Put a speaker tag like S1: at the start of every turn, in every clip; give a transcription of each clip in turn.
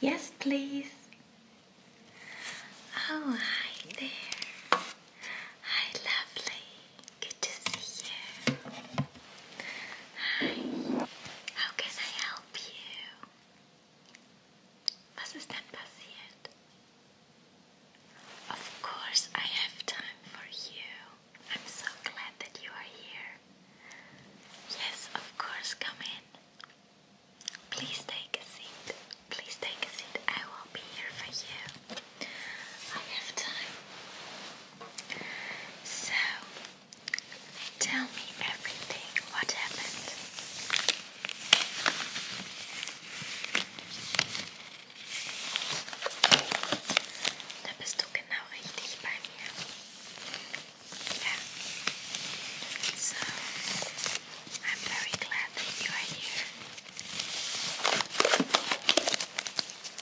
S1: Yes, please. Oh, hi there. Hi, lovely. Good to see you. Hi. How can I help you? Was ist Of course, I have time for you. I'm so glad that you are here. Yes, of course, come in. Please take a seat. Please take a seat. I will be here for you. I have time. So, tell me everything. What happened? Da bist du genau richtig bei mir. So, I'm very glad that you are here.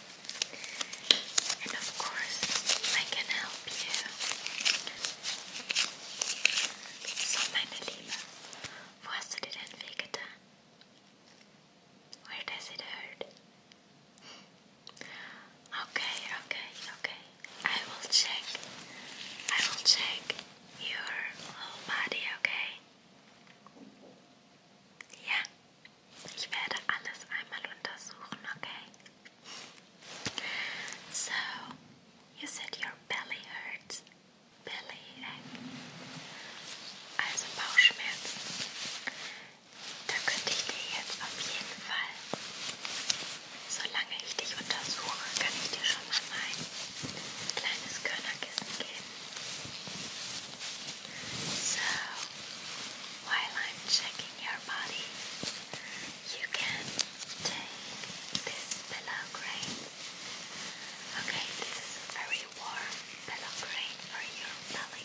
S1: And of course, I can help you. So, meine Liebe, wo hast du Where does it hurt? Okay, okay, okay. I will check. I will check your whole body, okay? Yeah. Ich werde alles einmal untersuchen, okay? So, you said your belly hurts. Belly ache. Also Bauchschmerzen. Da könnte ich dir jetzt auf jeden Fall, solange ich dich untersuche, kann ich dir schon mal mein kleines Körnerkissen geben. So, while I'm checking your body, you can take this pillow Okay, this very warm pillow for your belly.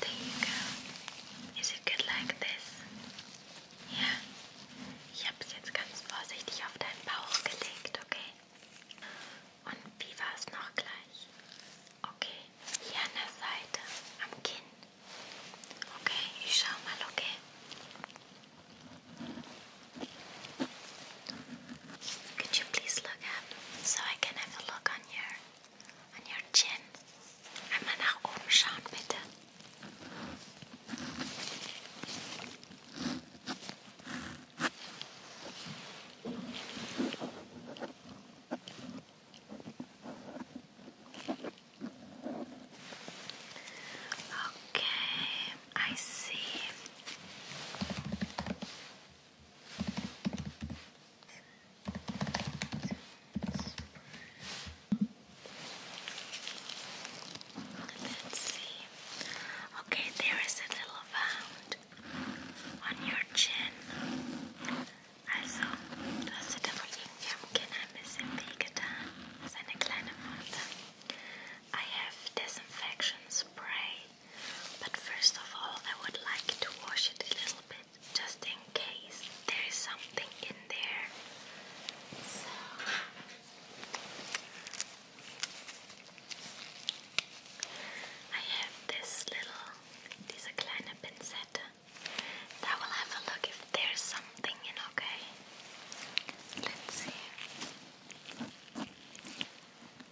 S1: There you go. Is it good like this? Ja. Ich habe es jetzt ganz vorsichtig auf deinen Bauch gelegt, okay? Und wie war es noch gleich? Okay, hier an der Seite, am Kinn. Okay, ich schau mal, okay? Could you please look up so I can have a look on your on your chin? Einmal nach oben schauen, bitte. Okay, I see. Let's see. Okay, there is a little mound on your chin. Also, du hast sie da wohl irgendwie am Kinn ein bisschen wehgetan. Das ist
S2: I have disinfection spray but first of
S1: all, I would like to wash it a little bit just in case there is something in there. So. I have this little, diese kleine Pinzette. I will have a look if there's something in, okay? Let's see.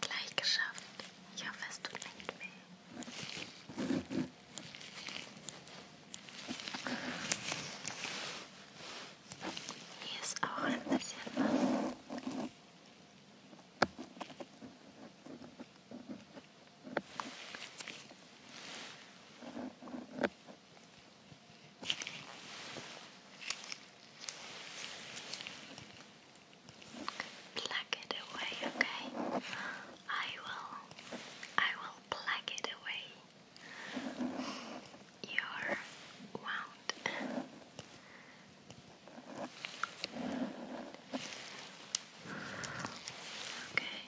S1: gleich geschafft. Ich hoffe, es tut nicht weh. Hier ist auch ein bisschen was. Plug it away, okay? I will I will plug it away. Your wound. Okay.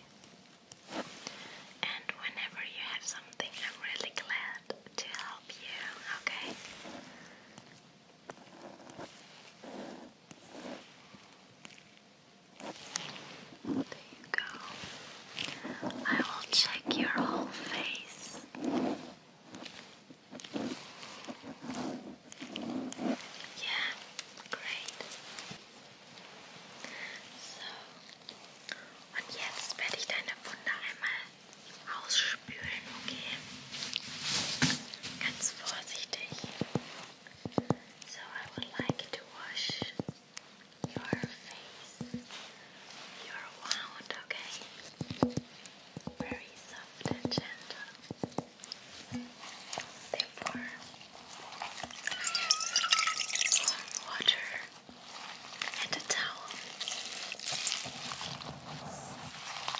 S1: And whenever you have something, I'm really glad to help you, okay? There you go. I will check your whole face. Yeah, great. So, und jetzt werde ich deine Wunde einmal I will like to wash your face, your wound, okay? Very soft gentle. Therefore, I water and a towel.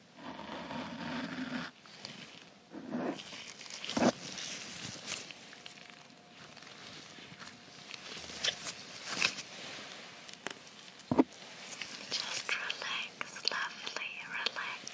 S1: Just relax, lovely, relax.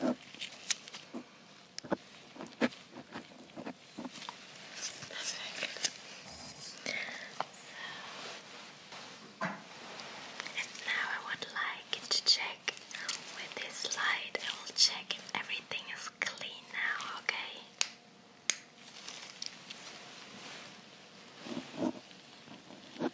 S1: Perfect. So, and now I would like to check with this light. I will check if everything is clean now, okay? Ja,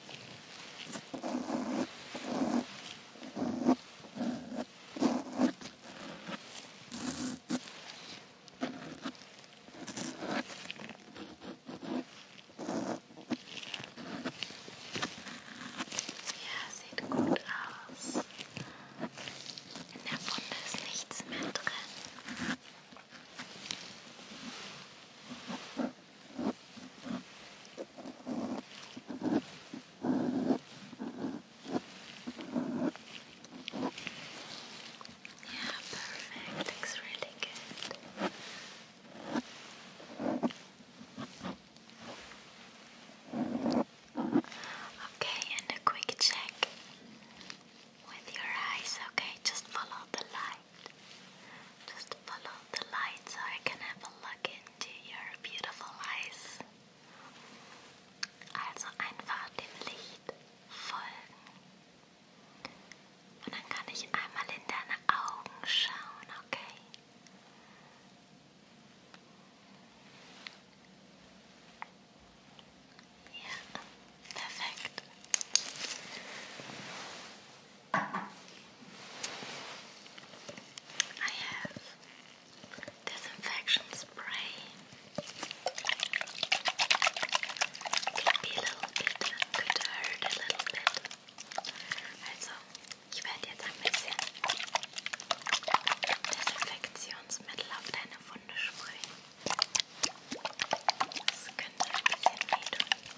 S1: sieht gut aus. In der Wunde ist nichts mehr drin. Yeah, perfect. Looks really good. Okay, and a quick check with your eyes. Okay, just follow the light. Just follow the light so I can have a look into your beautiful eyes. Also einfach dem Licht folgen. Und dann kann ich einmal in deine Augen schauen, okay? Ja, perfekt. I have disinfection spray. Could be a little bit, could hurt a little bit. Also, ich werde jetzt ein bisschen Desinfektionsmittel auf deine Wunde sprühen. Das könnte ein bisschen weh tun.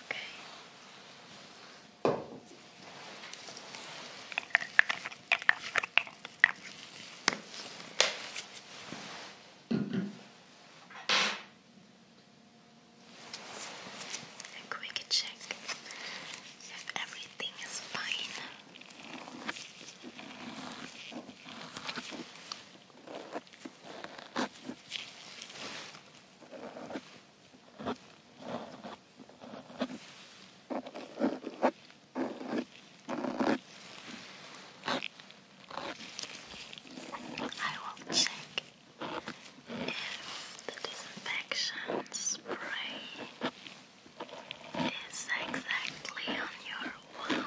S1: Okay. A quick check if everything is fine. I will check if the disinfection spray is exactly on your wound.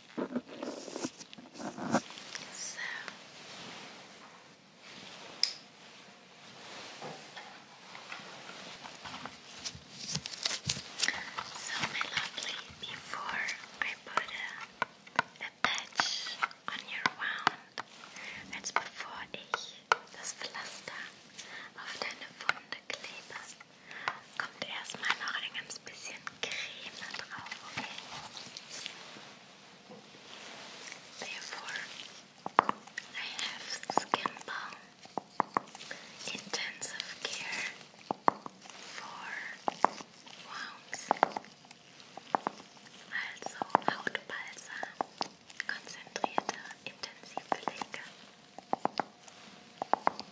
S1: So so my lovely, before I put a, a patch on your wound, als bevor ich das Pflaster auf deine Wunde klebe, kommt erstmal noch ein ganz bisschen Creme drauf, okay? Therefore, I have skin balm intensive care for wounds. Also Hautbalsam, konzentrierte, intensive Pflege.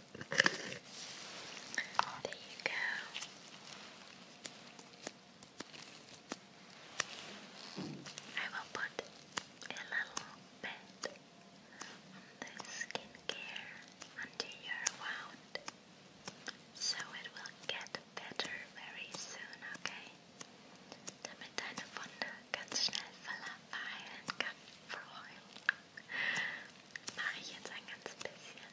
S1: There you go. I will put a little bit on the skincare until you wound, so it will get better very soon, okay? Damit deine Wunde ganz schnell verheilen kann, Freund. Mache ich jetzt ein ganz bisschen.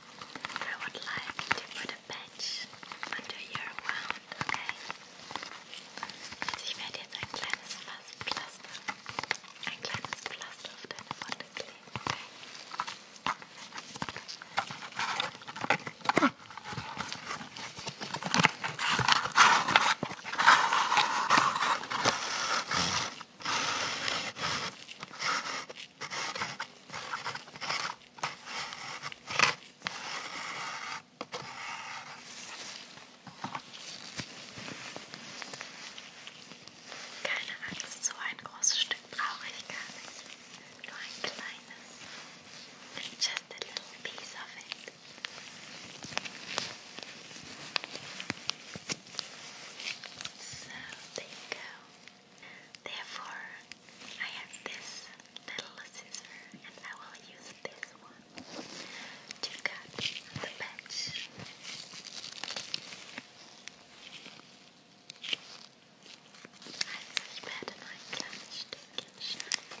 S1: I would like to put a patch under your wound, okay? Also ich werde jetzt ein kleines Pflaster, ein kleines Pflaster auf deine Wunde kleben, okay? Keine Angst, so ein großes Stück brauche ich gar nicht. Nur ein kleines. Just a little piece of it. So, there you go. Therefore, I have this little scissor and I will use this one to cut the patch. I see better my clutch taken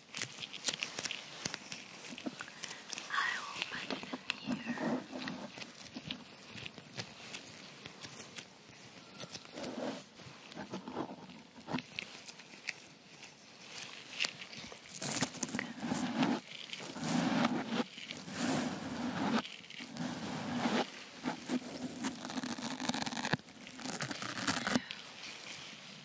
S1: I will put it in here. Two.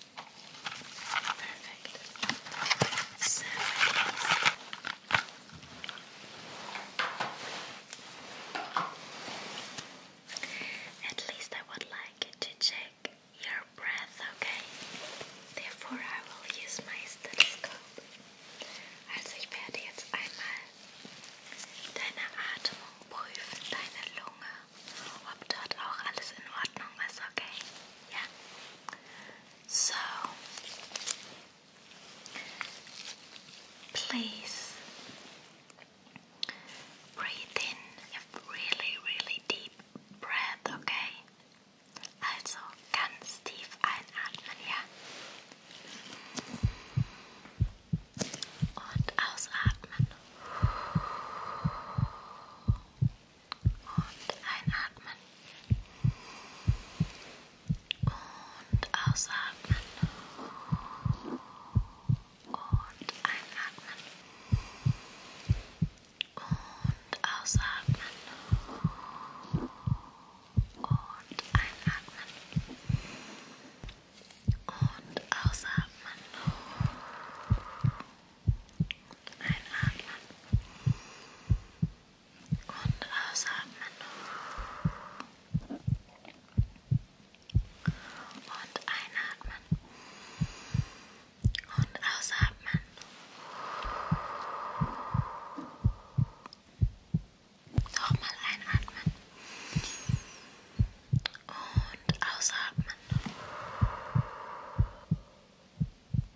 S1: Perfect. So at least I would like to check your breath, okay? Therefore, I will use my stethoscope. Also, ich werde jetzt einmal deine Atmung prüfen, deine Lunge, ob dort auch alles okay? So please breathe in a really, really deep breath, okay? Also ganz tief einatmen, ja? Und ausatmen und einatmen und ausatmen und einatmen und ausatmen und einatmen und ausatmen und Einatmen und ausatmen und einatmen und ausatmen. Nochmal einatmen und ausatmen.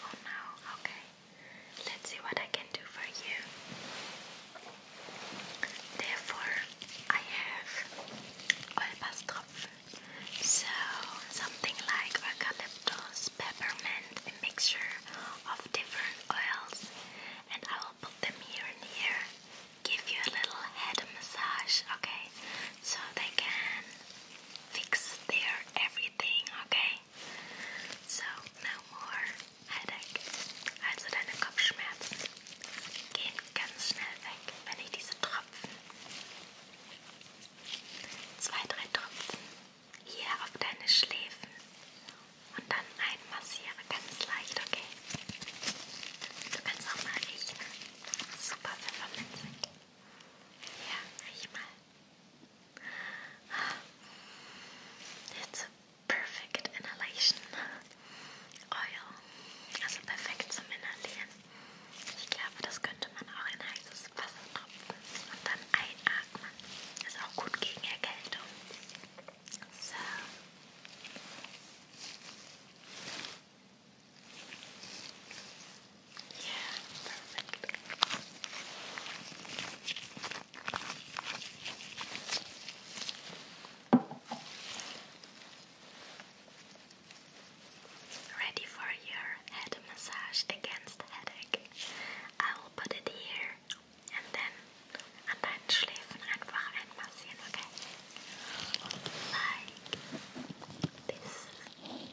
S1: Oh no, okay. Let's see what I can do for you. Therefore, I have Olbastropfen. So, something like eucalyptus, peppermint, a mixture of different oils, and I will put them here and here. Give you a little head massage, okay? So they can fix their everything, okay? Okay, so no more headache. Also deine Kopfschmerzen gehen ganz schnell weg, wenn ich diese Tropfen, zwei, drei Tropfen hier auf deine Schläfen und dann einmassiere ganz leicht, okay? Du kannst auch mal riechen. Super pfefferminzig. Ja, riech mal. It's a perfect inhalation oil. Also perfekt zum Inhalieren. Ich glaube, das könnte man auch in heißes Wasser tropfen und dann einatmen. Ist auch gut gegen Erkältung. So. Ready for your head massage against headache. I will put it here and then an deinen Schläfen einfach einmassieren, okay? Like this.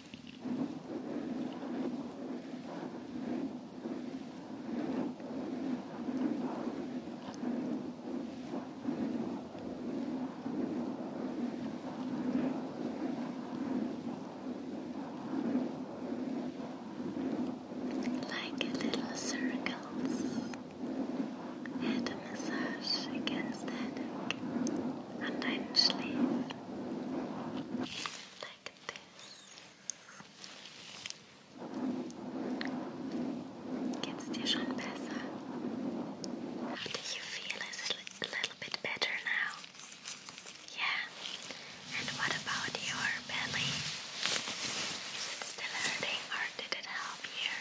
S1: Like little circles, head massage against the and then sleep like this. Geht's How do you feel? Is it a little bit better now? Yeah. And what about your belly? Is it still hurting or did it help here?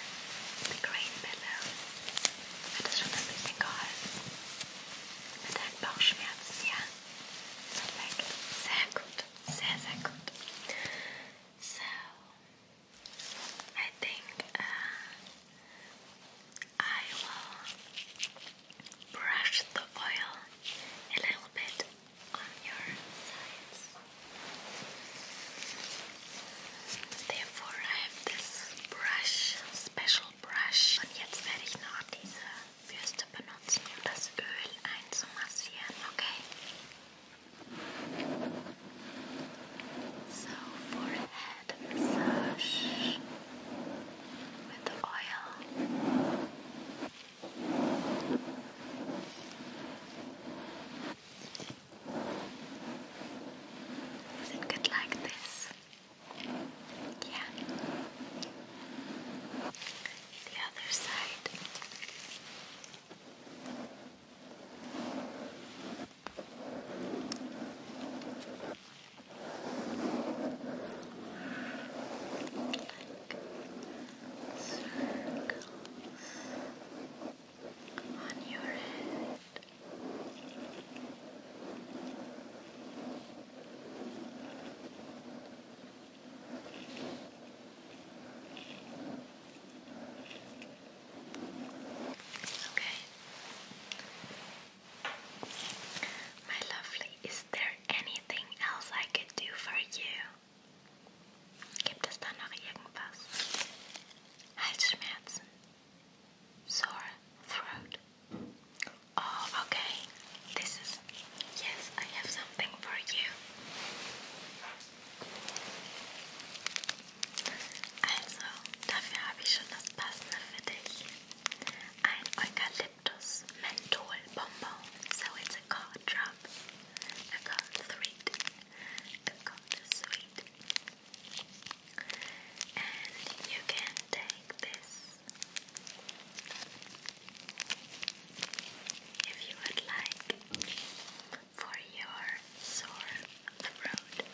S1: The green pillow. I just remember the guys. Mit deinen Bauchschmerzen, ja? Perfekt. Sehr gut. Sehr, sehr So, I think I will brush the oil a little bit on your sides. Therefore, I have this brush, special brush. Und jetzt werde ich noch diese Bürste benutzen, um das Öl einzumassieren, okay? So, forehead massage with the oil. Does it get like this? Yeah. The other side. Like circles on your head. Okay. My lovely, is there anything else I could do for you? Gibt es da noch irgendwas? Halsschmerzen, sore throat, Oh, okay. This is. Yes, I have something for you. Also, dafür habe ich schon das Passende für dich. Ein Eukalyptus Menthol Bonbon. So it's a cold drop. A cold sweet. A cold sweet. And you can take this if you would like for your sore throat.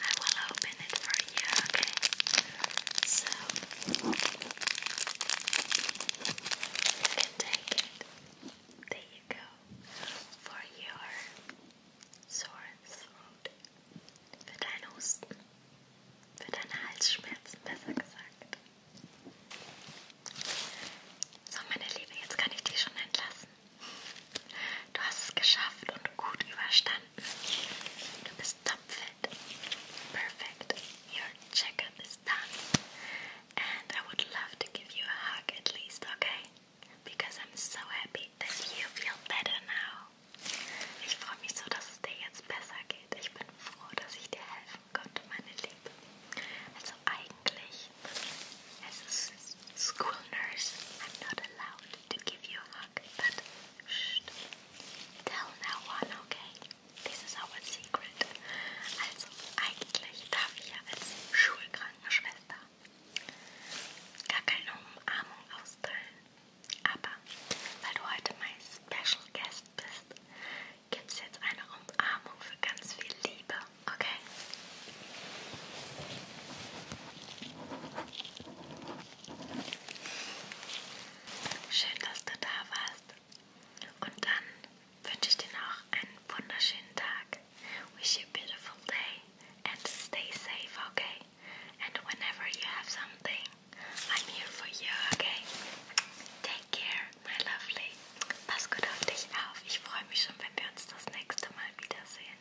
S1: I will open it for you, okay? So you can take it. There you go. For your sore throat. Für deinen Husten. Für deine Halsschmerzen, besser gesagt. So, meine Liebe, jetzt kann ich dich schon entlassen. Du hast es geschafft und gut überstanden. Du bist tapfer, Perfect. Your checkup is done. And I would love to give you a hug at least, okay? Because I'm so happy that you feel better now. Ich freue mich so, dass es dir jetzt besser geht. Ich bin froh, dass ich dir helfen konnte, meine Liebe. Also eigentlich, as a school nurse, I'm not allowed to give you a hug, but shh, tell no one, okay? This is our secret. Also, eigentlich darf ich ja als Schulkrankenschwester gar keine Umarmung austeilen. Aber weil du heute mein Special Guest bist, gibt es jetzt eine Umarmung für ganz viel Liebe, okay? Schön, dass du da warst. Und dann wünsche ich dir noch einen wunderschönen Tag. Wish you a beautiful day and stay safe, okay? And whenever you have something, I'm here for you, okay? Take care, my lovely. Pass gut auf dich auf. Ich freue mich schon, wenn wir uns das nächste Mal wiedersehen.